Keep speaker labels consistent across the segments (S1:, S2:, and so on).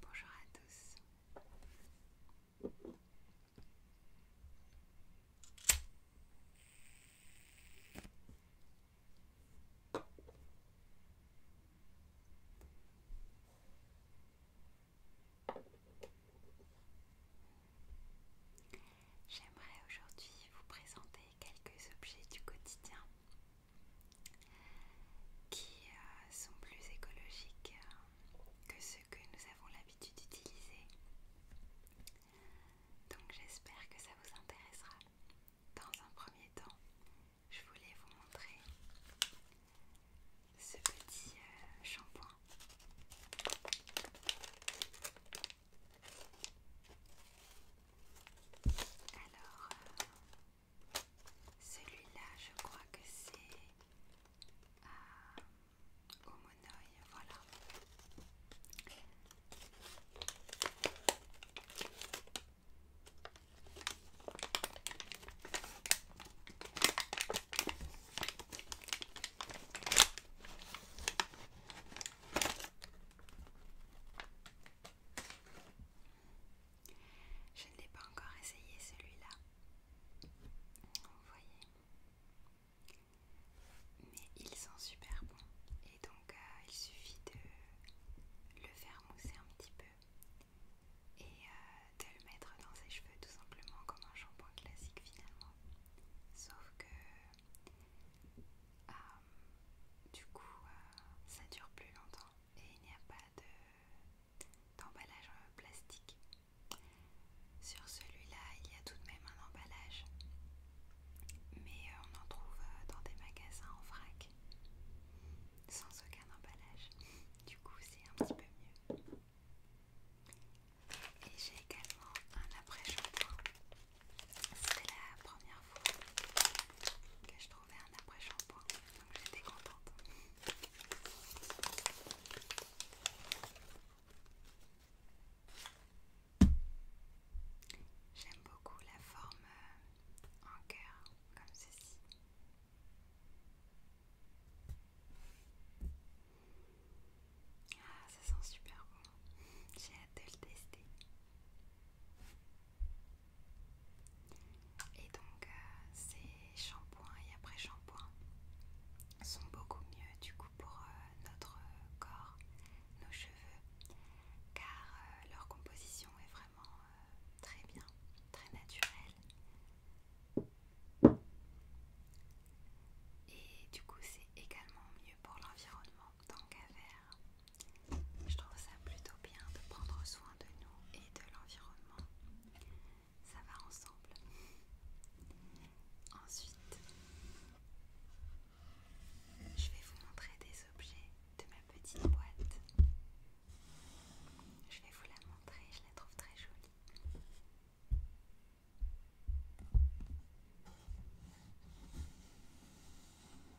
S1: Bonjour à tous. J'aimerais aujourd'hui vous présenter quelques objets du quotidien qui euh, sont plus écologiques euh, que ceux que nous avons l'habitude d'utiliser. Donc j'espère que ça vous intéressera. Dans un premier temps, je voulais vous montrer ce petit euh, shampoing. Alors, celui-là, je crois que c'est euh, au voilà. Je ne l'ai pas encore essayé celui-là. Vous voyez. Mais ils sont super bons. Et donc euh, il suffit de le faire mousser un petit peu. Et euh, de le mettre dans ses cheveux tout simplement comme un shampoing classique finalement. Sauf que... Euh, du coup, ça dure plus longtemps et il n'y a pas d'emballage euh, plastique. Sur celui-là, il y a tout de même un emballage, mais euh, on en trouve euh, dans des magasins en vrac, sans aucun emballage. Du coup, c'est un petit peu mieux. Et j'ai également un après-shampoing c'était la première fois que je trouvais un après-shampoing, donc j'étais contente. J'aime beaucoup la forme euh, en cœur, comme ceci. Ah, ça sent super bon. J'ai hâte de le tester. Et donc, euh, ces shampoings et après-shampoings sont beaucoup mieux du coup pour euh, notre corps, nos cheveux, car euh, leur composition est vraiment très bien, très naturelle. Et du coup, c'est également mieux pour l'environnement tant qu'à faire. Je trouve ça plutôt bien de prendre soin de nous et de l'environnement. Ça va ensemble. Ensuite, je vais vous montrer des objets de ma petite boîte. Je vais vous la montrer, je la trouve très jolie.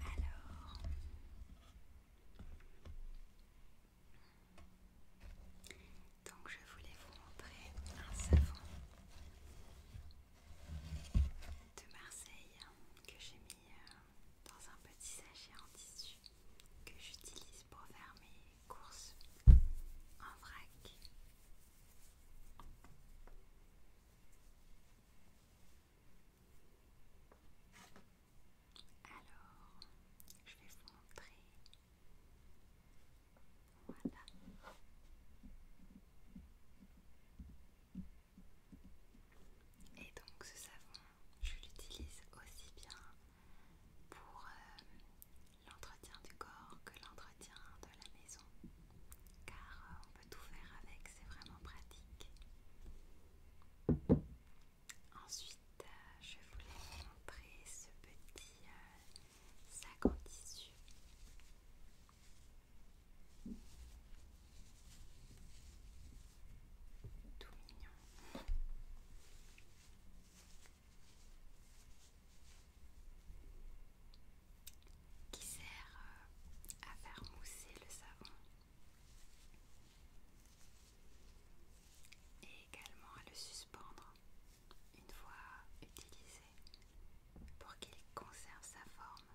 S1: Alors, donc je voulais vous montrer un savon de Marseille que j'ai mis euh, dans un petit sachet en tissu que j'utilise pour faire mes courses en vrac. Alors, je vais vous montrer. Voilà. Et donc ce savon, je l'utilise aussi bien pour euh, l'entretien du corps que l'entretien de la maison car euh, on peut tout faire avec, c'est vraiment pratique. Ensuite, euh, je voulais vous montrer ce petit euh, sac en tissu. Tout mignon qui sert euh, à faire mousser le savon et également à le suspendre une fois utilisé pour qu'il conserve sa forme.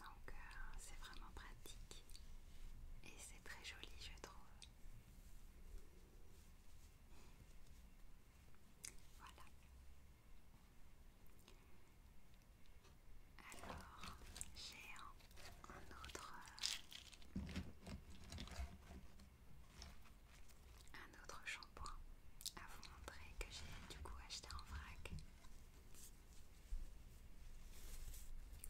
S1: Donc euh, c'est vraiment pratique et c'est très joli je trouve. Voilà. Alors, j'ai un, autre un autre shampoing à vous montrer que j'ai du coup acheté en vrac.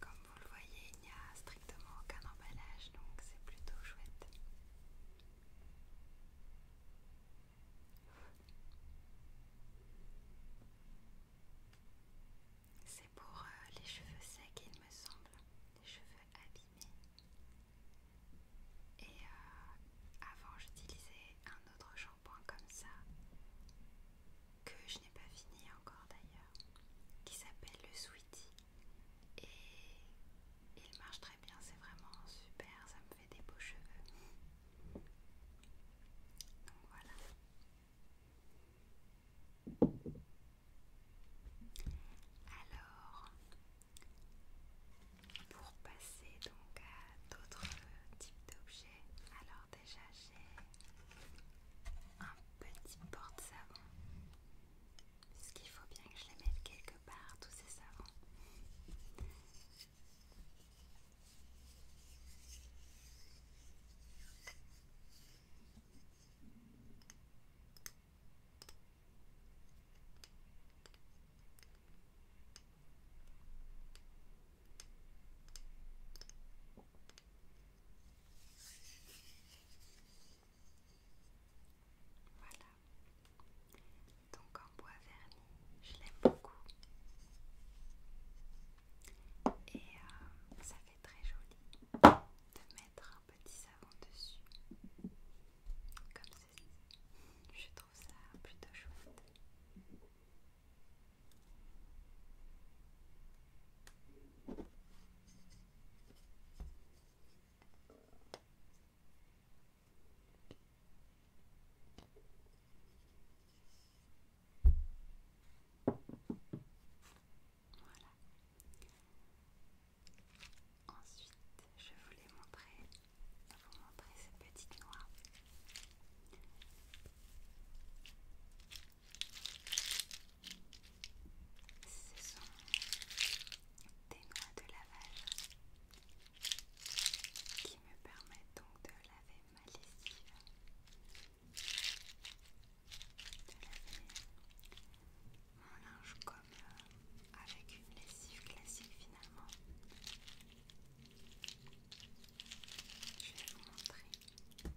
S1: Comme vous le voyez, il n'y a strictement aucun emballage, donc c'est plutôt chouette. C'est pour euh, les cheveux secs, il me semble, les cheveux abîmés. Et euh, avant, j'utilisais un autre shampoing comme ça, que je n'ai pas fini encore d'ailleurs, qui s'appelle le Sweetie et il marche très bien, c'est vraiment super, ça me fait des beaux cheveux. Donc voilà. Alors, pour passer donc à d'autres types d'objets, alors déjà j'ai un petit porte-savon est-ce qu'il faut bien que je les mette quelque part, tous ces savons. Voilà. Donc en bois verni, je l'aime beaucoup. Et euh, ça fait très joli de mettre un petit savon dessus. Comme ceci. Je trouve ça plutôt chouette. Ensuite, je voulais montrer, vous montrer cette petite noix. Ce sont des noix de lavage qui me permettent donc de laver ma lessive, de laver mon linge comme euh, avec une lessive classique finalement. Je vais vous montrer.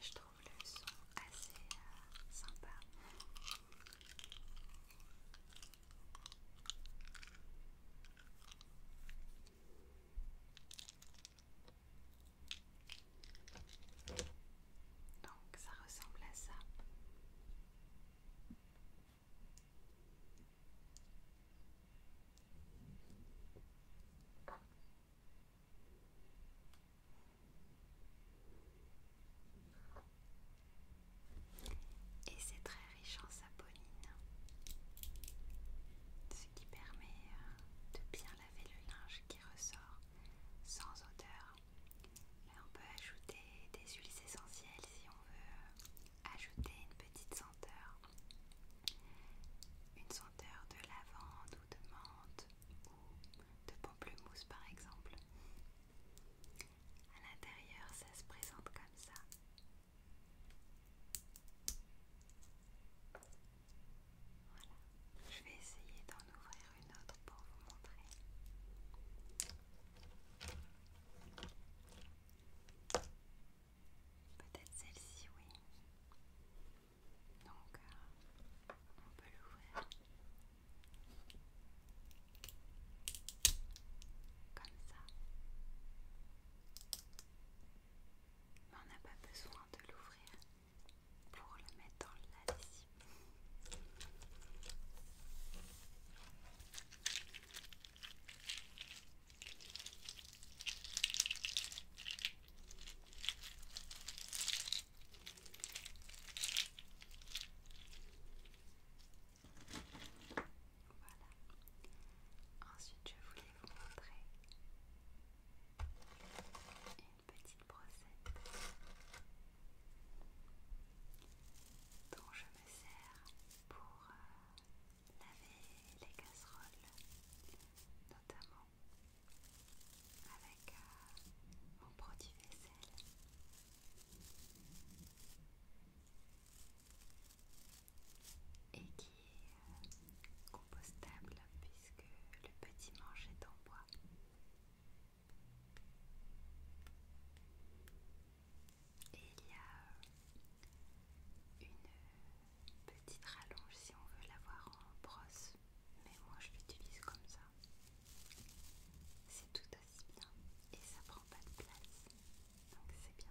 S1: Je trouve le son assez euh, sympa. Donc ça ressemble à ça. Et c'est très riche en saponine, ce qui permet euh, de bien avait le linge qui ressort sans odeur. on peut ajouter des huiles essentielles si on veut euh, ajouter une petite senteur. Une senteur de lavande ou de menthe ou de pamplemousse par exemple. À l'intérieur, ça se présente comme ça je vais essayer d'en ouvrir une autre pour vous montrer. Peut-être celle-ci, oui. Donc, euh, on peut l'ouvrir comme ça mais on n'a pas besoin de l'ouvrir pour le mettre dans la lessive. Voilà. Ensuite, je voulais vous montrer une petite brossette dont je me sers pour euh, laver les casseroles notamment avec euh, mon produit vaisselle et qui est compostable puisque le petit manche est en bois. Et il y a une petite rallonge si on veut l'avoir en brosse, mais moi je l'utilise comme ça. C'est tout aussi bien et ça prend pas de place, donc c'est bien.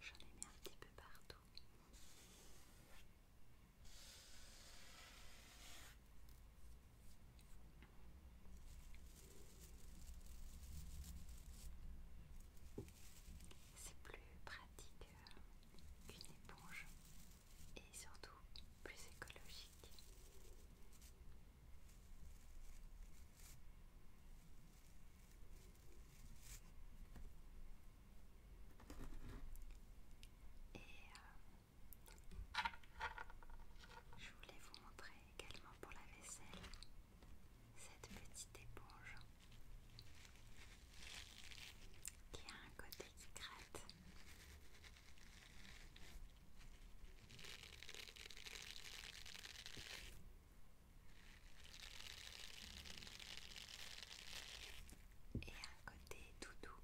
S1: J'en ai mis un petit peu partout. C'est plus pratique qu'une éponge et surtout plus écologique. Et euh, je voulais vous montrer également pour la vaisselle cette petite éponge qui a un côté qui gratte et un côté tout doux.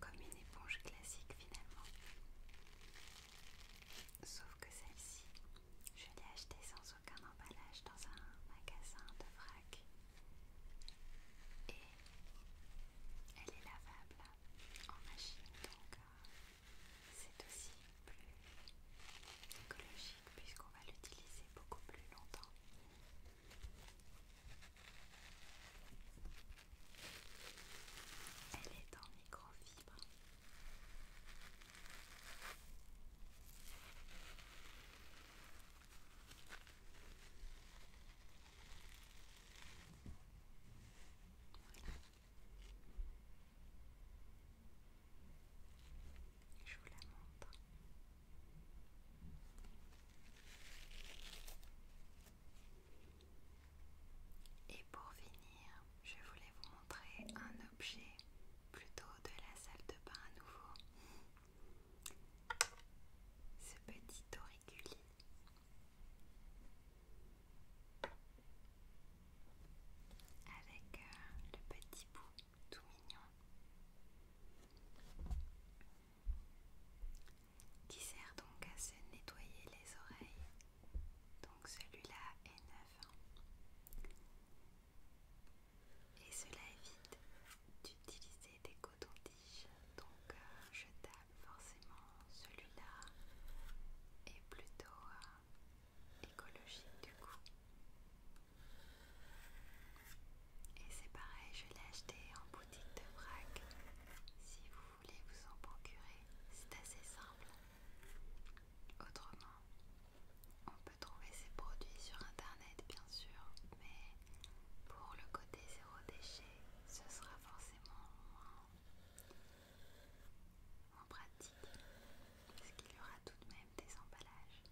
S1: Comme une éponge classique finalement. Sauf que celle-ci, je l'ai achetée sans aucun emballage dans un magasin de vrac. Et elle est lavable en machine, donc euh, c'est aussi plus écologique puisqu'on va l'utiliser beaucoup plus longtemps. Elle est en microfibre. Voilà. Je vous la montre. Et pour finir, je voulais vous montrer un objet plutôt de la salle de bain à nouveau. Ce petit auriculi. Avec euh, le petit bout tout mignon qui sert donc à se nettoyer les oreilles. Donc celui-là est neuf. Hein. Et cela évite d'utiliser des cotons-tiges. Donc euh, je tape forcément celui-là est plutôt euh, écologique du coup. Et c'est pareil, je l'ai acheté en de Si vous voulez vous en procurer, c'est assez simple. Autrement, on peut trouver ces produits sur internet bien sûr, mais pour le côté zéro déchet, ce sera forcément moins, pratique, parce qu'il y aura tout de même des emballages.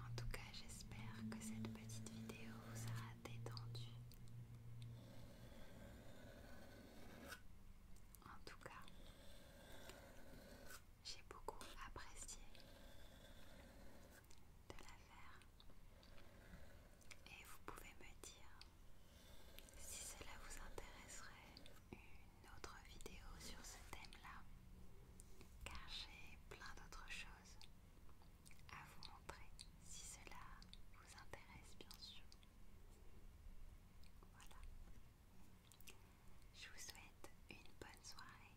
S1: En tout cas, j'espère que cette petite vidéo vous aura détendu. En tout cas, j'ai beaucoup apprécié de l'affaire et vous pouvez me dire si cela vous intéresserait une autre vidéo sur ce thème-là car j'ai plein d'autres choses à vous montrer si cela vous intéresse bien sûr. Voilà. Je vous souhaite une bonne soirée